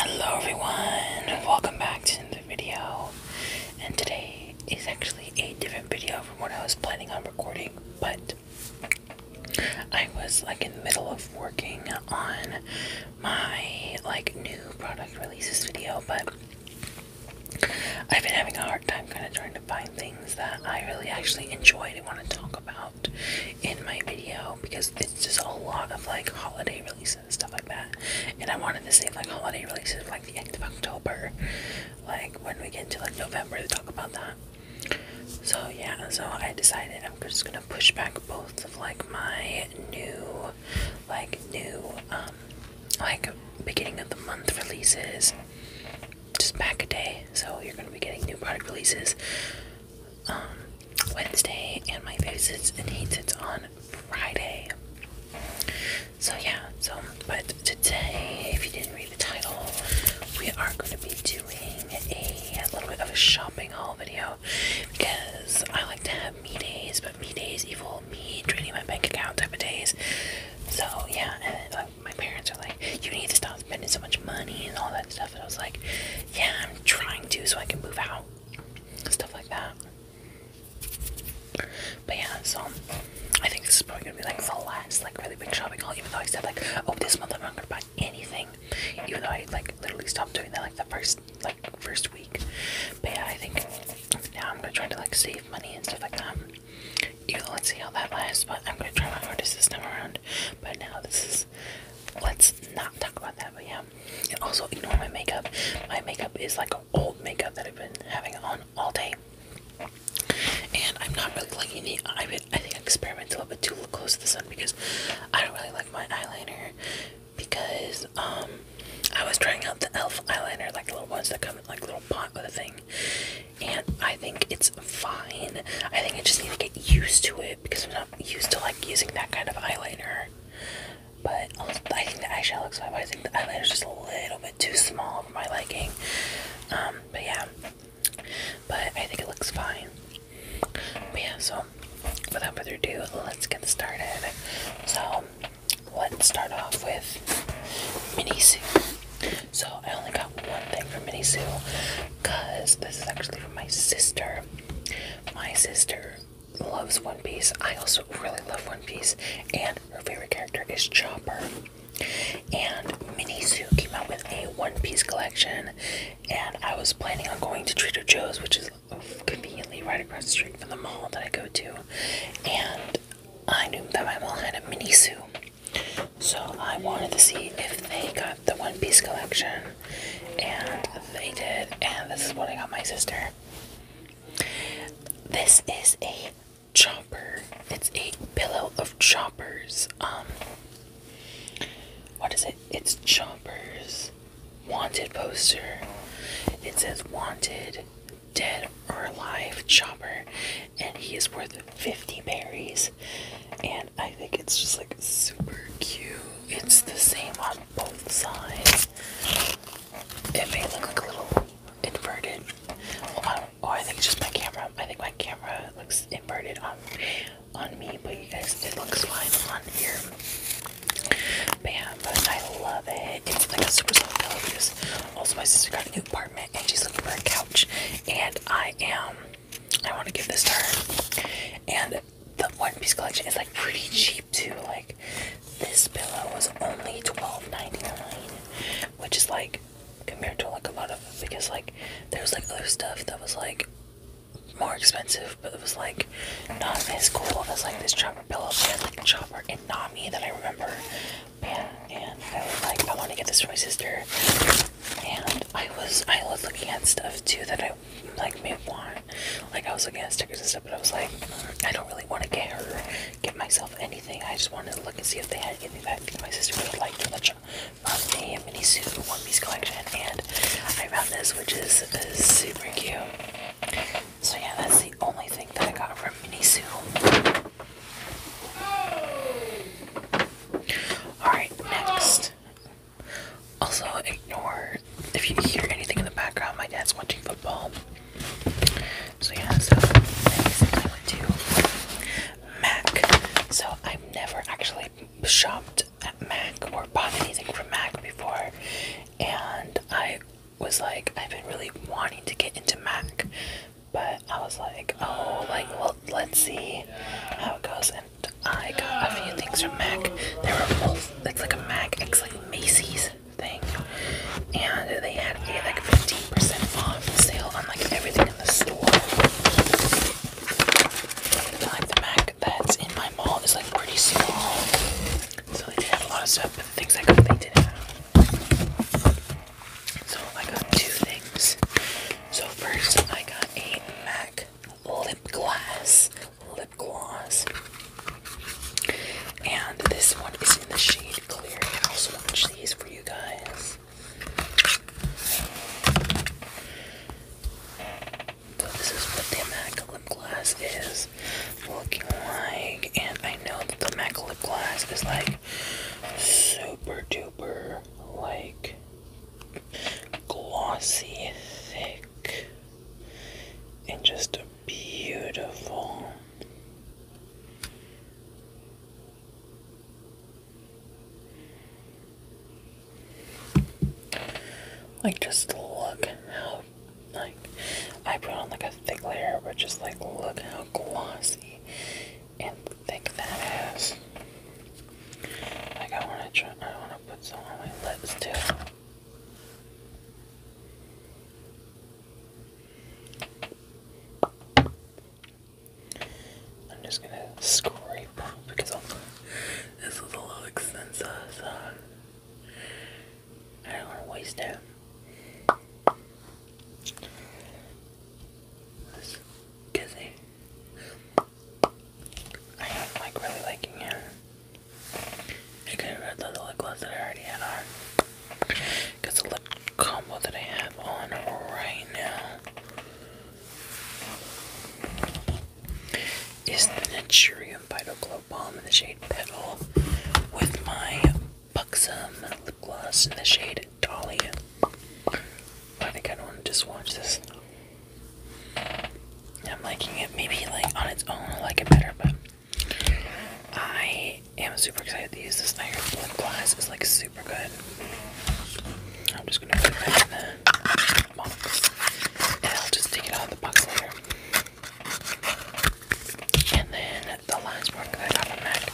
Hello everyone, welcome back to the video. And today is actually a different video from what I was planning on recording, but I was like in the middle of working on my like new product releases video, but I've been having a hard time kind of trying to find things that I really actually enjoy and want to talk about in my video because this is a lot of like holiday releases and stuff like that. And I wanted to save like holiday releases like the end of October, like when we get into like November to talk about that. So yeah, so I decided I'm just gonna push back both both of like my new, like new, um, like beginning of the month releases, just back a day. So you're gonna be getting new product releases um, Wednesday, and my favorites and hates it's on Friday. So yeah. So, but today, if you didn't read the title, we are going to be doing doing a little bit of a shopping haul video because I like to have me days, but me days equal me draining my bank account type of days. So yeah, my parents are like, "You need to stop spending so much money and all that stuff." And I was like, "Yeah, I'm trying to, so I can move out, stuff like that." But yeah, so I think this is probably gonna be like the last like really big shopping haul. Even though I said like, "Oh, this month I'm not gonna buy anything," Even though I like literally stopped doing that like the first like first week. But yeah, I think now I'm gonna try to like save money and stuff like that. You can let see how that lasts, but I'm gonna try my hardest this time around. But now this is let's not talk about that, but yeah. And also ignore my makeup. My makeup is like old makeup that I've been having on all day. And I'm not really liking the I mean, I think I experimented a little bit too close to the sun because I don't really like my eyeliner because um, I was trying out the elf eyeliner, like the little ones that come in like little pot with a thing. And I think it's fine. I think I just need to get used to it because I'm not used to like using that kind of eyeliner. But I think the eyeshadow looks fine, but I think the eyeliner is just a little bit too small for my liking. Um, but yeah, but I think it looks fine yeah, so without further ado, let's get started. So let's start off with Mini Sue. So I only got one thing from Mini Sue because this is actually from my sister. My sister loves One Piece. I also really love One Piece, and her favorite character is Chopper. And Minisu came out with a One Piece collection, and I was planning on going to Trader Joe's, which is conveniently right across the street from the mall that I go to, and I knew that my mall had a mini zoo, so I wanted to see if they got the One Piece collection, and they did, and this is what I got my sister. This is a chopper. It's a pillow of choppers. Um, what is it? It's Chopper's wanted poster. It says wanted, dead or alive, Chopper," and he is worth 50 berries. And I think it's just like super cute. It's the same on both sides. It may look like a little inverted. Oh, I, think it's just my camera. I think my camera looks inverted on on me, but you guys, it looks fine on here. Bam! but I love it. It's like a super soft pillow also my sister got a new apartment and she's looking for a couch, and I am. I want to give this to her. And the One Piece collection is like pretty cheap too. Like this pillow was only 12 99 which is like compared to like a lot of because like there's like other stuff that was like more expensive, but it was like not as cool as like this chopper pillow. They had like chopper and Nami that I remember. And, and I was like, I want to get this for my sister. And I was I was looking at stuff too that I like may want. Like I was looking at stickers and stuff, but I was like, mm, I don't really want to get her, get myself anything. I just wanted to look and see if they had anything that my sister would like liked from the, from the mini suit One Piece collection, and I found this, which is super cute. So yeah, that's the only thing that I got from mini suit. All right, next. Also, ignore if you hear anything in the background. My dad's watching football. So yeah, so next went to Mac. So I've never actually shopped at Mac or bought anything from Mac before, and I was like, I've been really wanting to get into Mac, but I was like, oh, like, well, let's see how it goes. And I got a few things from Mac. They were both, it's like a Mac, it's like Macy's thing, and they had a like 15% off sale on like everything in the store. I like the Mac that's in my mall is like pretty small. So they did have a lot of stuff, but the things I got they didn't have. So I got two things. So first I got a Mac lip glass. Lip gloss. And this one is in the shade clear. I will also these for you guys. So this is what the MAC lip gloss is looking like, and I know that the MAC lip gloss is like super duper like glossy, thick, and just beautiful. Like, just look how, like, I put on like a thick layer, but just like, look how glossy and thick that is. Like, I want to try, I want to put some on my lips too. I'm just gonna scrape right now because this was a little expensive, so I don't want to waste it. This kizzy. I am like really liking it. I could read the lip gloss that I already had on. Because the lip combo that I have on right now is the Naturium Vital Glow Balm in the shade Petal with my Buxom lip gloss in the shade Dolly. I think I don't want to just watch this. I'm liking it. Maybe like on its own, I like it better, but I am super excited to use this. I heard lip gloss is like super good. I'm just gonna put that in the I'll just take it out of the box later. And then the last one I got on Mac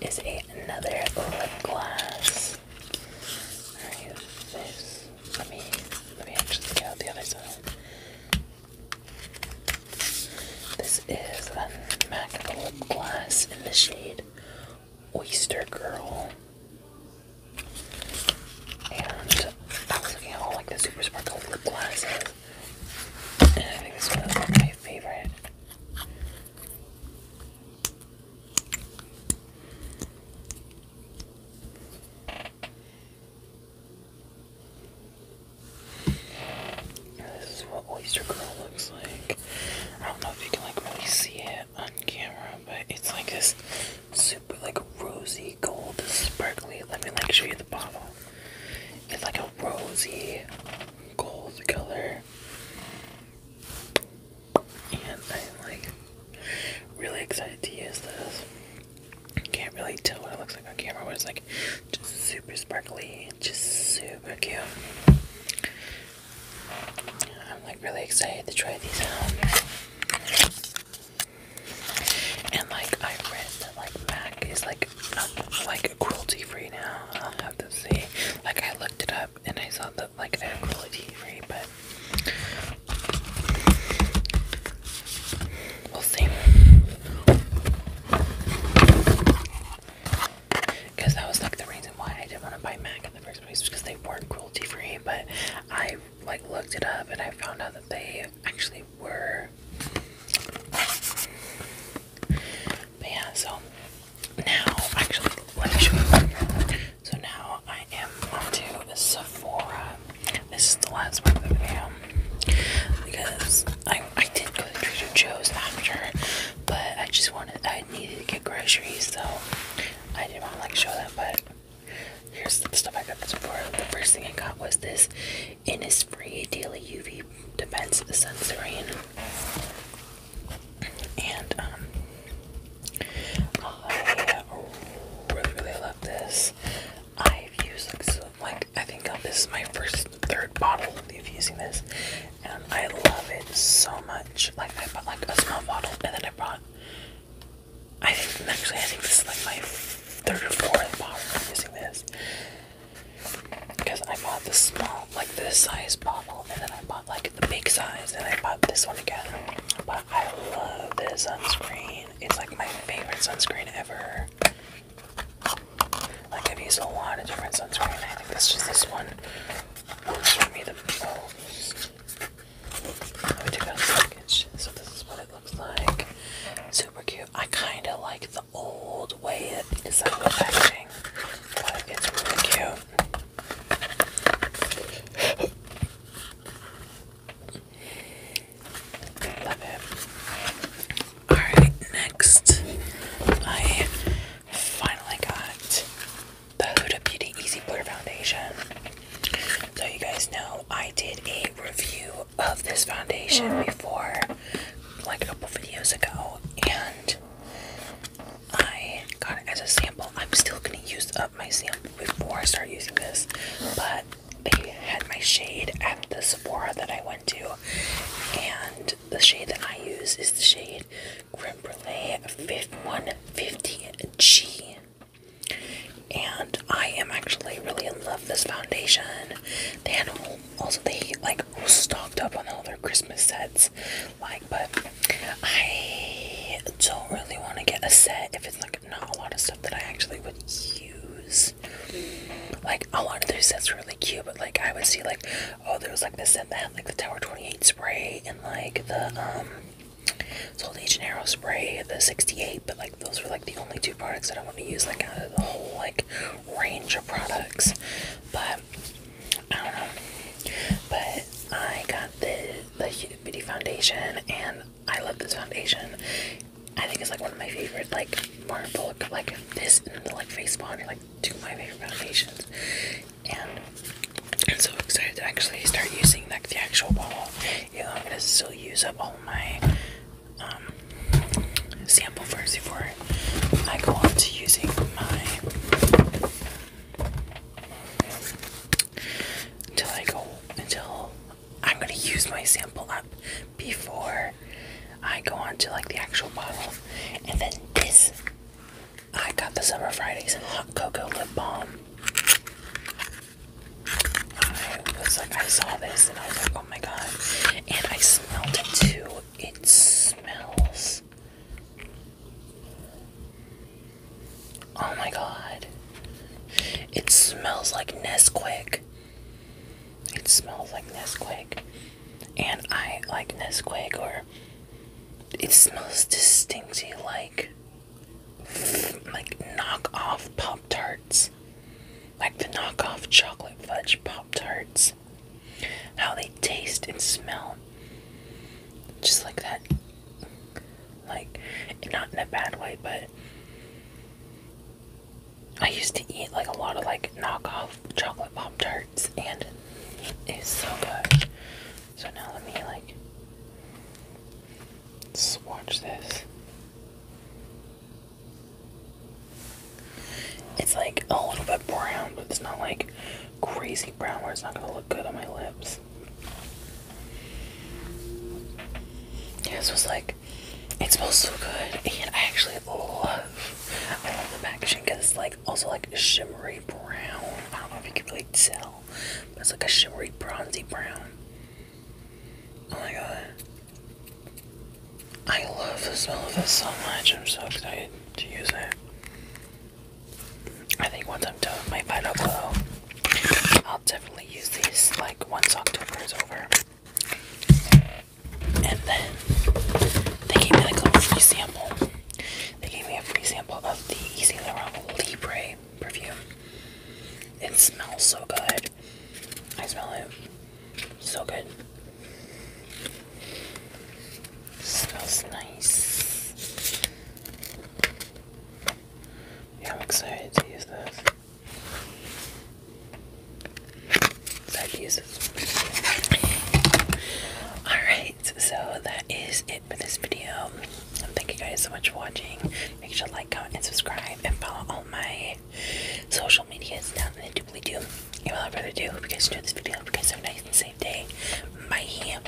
is a, another lip gloss. Alright, this. Let me let me actually get the other side. This is a MAC lip gloss in the shade Oyster Girl. And I was looking at all like the super sparkle lip glosses. And I think this one is like, my favorite. This is what Oyster Girl looks like. I don't know if you can like really see it on camera, but it's like this super like rosy gold sparkly. Let me like show you the bottle. It's like a rosy gold color. And I'm like really excited to use this. Can't really tell what it looks like on camera, but it's like just super sparkly, just super cute. I'm like really excited to try these out. And like I read that like Mac is like not like cruelty free now. I'll have to see. Like I looked it up and I saw that like they're cruelty free, but we'll see. Because that was like the reason why I didn't want to buy Mac in the first place because they weren't cruelty free. But I like looked it up and I found out that they actually were. yeah, so now actually let me show you. So now I am on to Sephora. This is the last one of the video because I I did go to Trader Joe's after, but I just wanted I needed to get groceries, so I didn't want to like show that, but. Here's the stuff I got this for. The first thing I got was this Innisfree Daily UV Defense Sunscreen. And, um, I really, really love this. I've used, like, I think uh, this is my first, third bottle of using this. And I love it so much. Like, I bought, like, a small bottle and then I bought I think actually I think this is like my third or fourth bottle i using this. Because I bought the small, like this size bottle, and then I bought like the big size, and I bought this one again. But I love this sunscreen. It's like my favorite sunscreen ever. Like I've used a lot of different sunscreens I think this just this one let me out the package. So this is what it looks like. Super cute. I kind of like the old way it is out the packaging, but it's really cute. Alright, next I finally got the Huda Beauty Easy Blur Foundation. So you guys know I did a review of this foundation before, like a couple videos ago, and I got it as a sample. I'm still gonna use up my sample before I start using this, but they had my shade at the Sephora that I went to, and the shade that I use is the shade Creme Brulee 150G. And I am actually really in love with this foundation. They also they like stocked up on all their Christmas sets, like. But I don't really want to get a set if it's like not a lot of stuff that I actually would use. Like a lot of their sets are really cute, but like I would see like oh there was like this set that like the Tower Twenty Eight spray and like the um, Sol de Arrow spray, the 68, but like those were like the only two products that I want to use like out of the whole like range of products. But I don't know. But I got the the Huda Beauty foundation and I love this foundation. I think it's like one of my favorite like Marvel like this and the like face bond like two of my favorite foundations. And I'm so excited to actually start using like the actual bottle. You know, I'm gonna still use up all my um, sample first before I go on to using my. Until I go, until I'm gonna use my sample up before I go on to like the actual bottle, and then this. I got the Summer Fridays Hot Cocoa Lip Balm. I was like, I saw this and I was like, oh my god. And I smelled it too. It smells. Oh my god. It smells like Nesquik. It smells like Nesquik. And I like Nesquik or it smells distinctly like like knockoff Pop Tarts, like the knockoff chocolate fudge Pop Tarts. How they taste and smell, just like that, like not in a bad way, but I used to eat like a lot of like knockoff chocolate Pop Tarts, and it's so good. So now let me like swatch this. It's like a little bit brown, but it's not like crazy brown where it's not gonna look good on my lips. Yeah, this was like it smells so good, and I actually love I love the packaging because it's like also like shimmery brown. I don't know if you can really tell it's like a shimmery bronzy brown. Oh my god. I love the smell of this so much. I'm so excited to use it. I think once I'm done with my final glow, I'll definitely use these like once October is over. And then they gave me a free sample. They gave me a free sample of the Easy Laurent Libre perfume. It smells so good. I smell it. So good. It smells nice. Yeah, I'm excited to use this. Excited to use this. Alright, so that is it for this video thank you guys so much for watching. Make sure to like, comment, and subscribe, and follow all my social medias down in the doobly doo. And without further do hope you guys enjoyed this video. Hope you guys have a nice and safe day. Bye.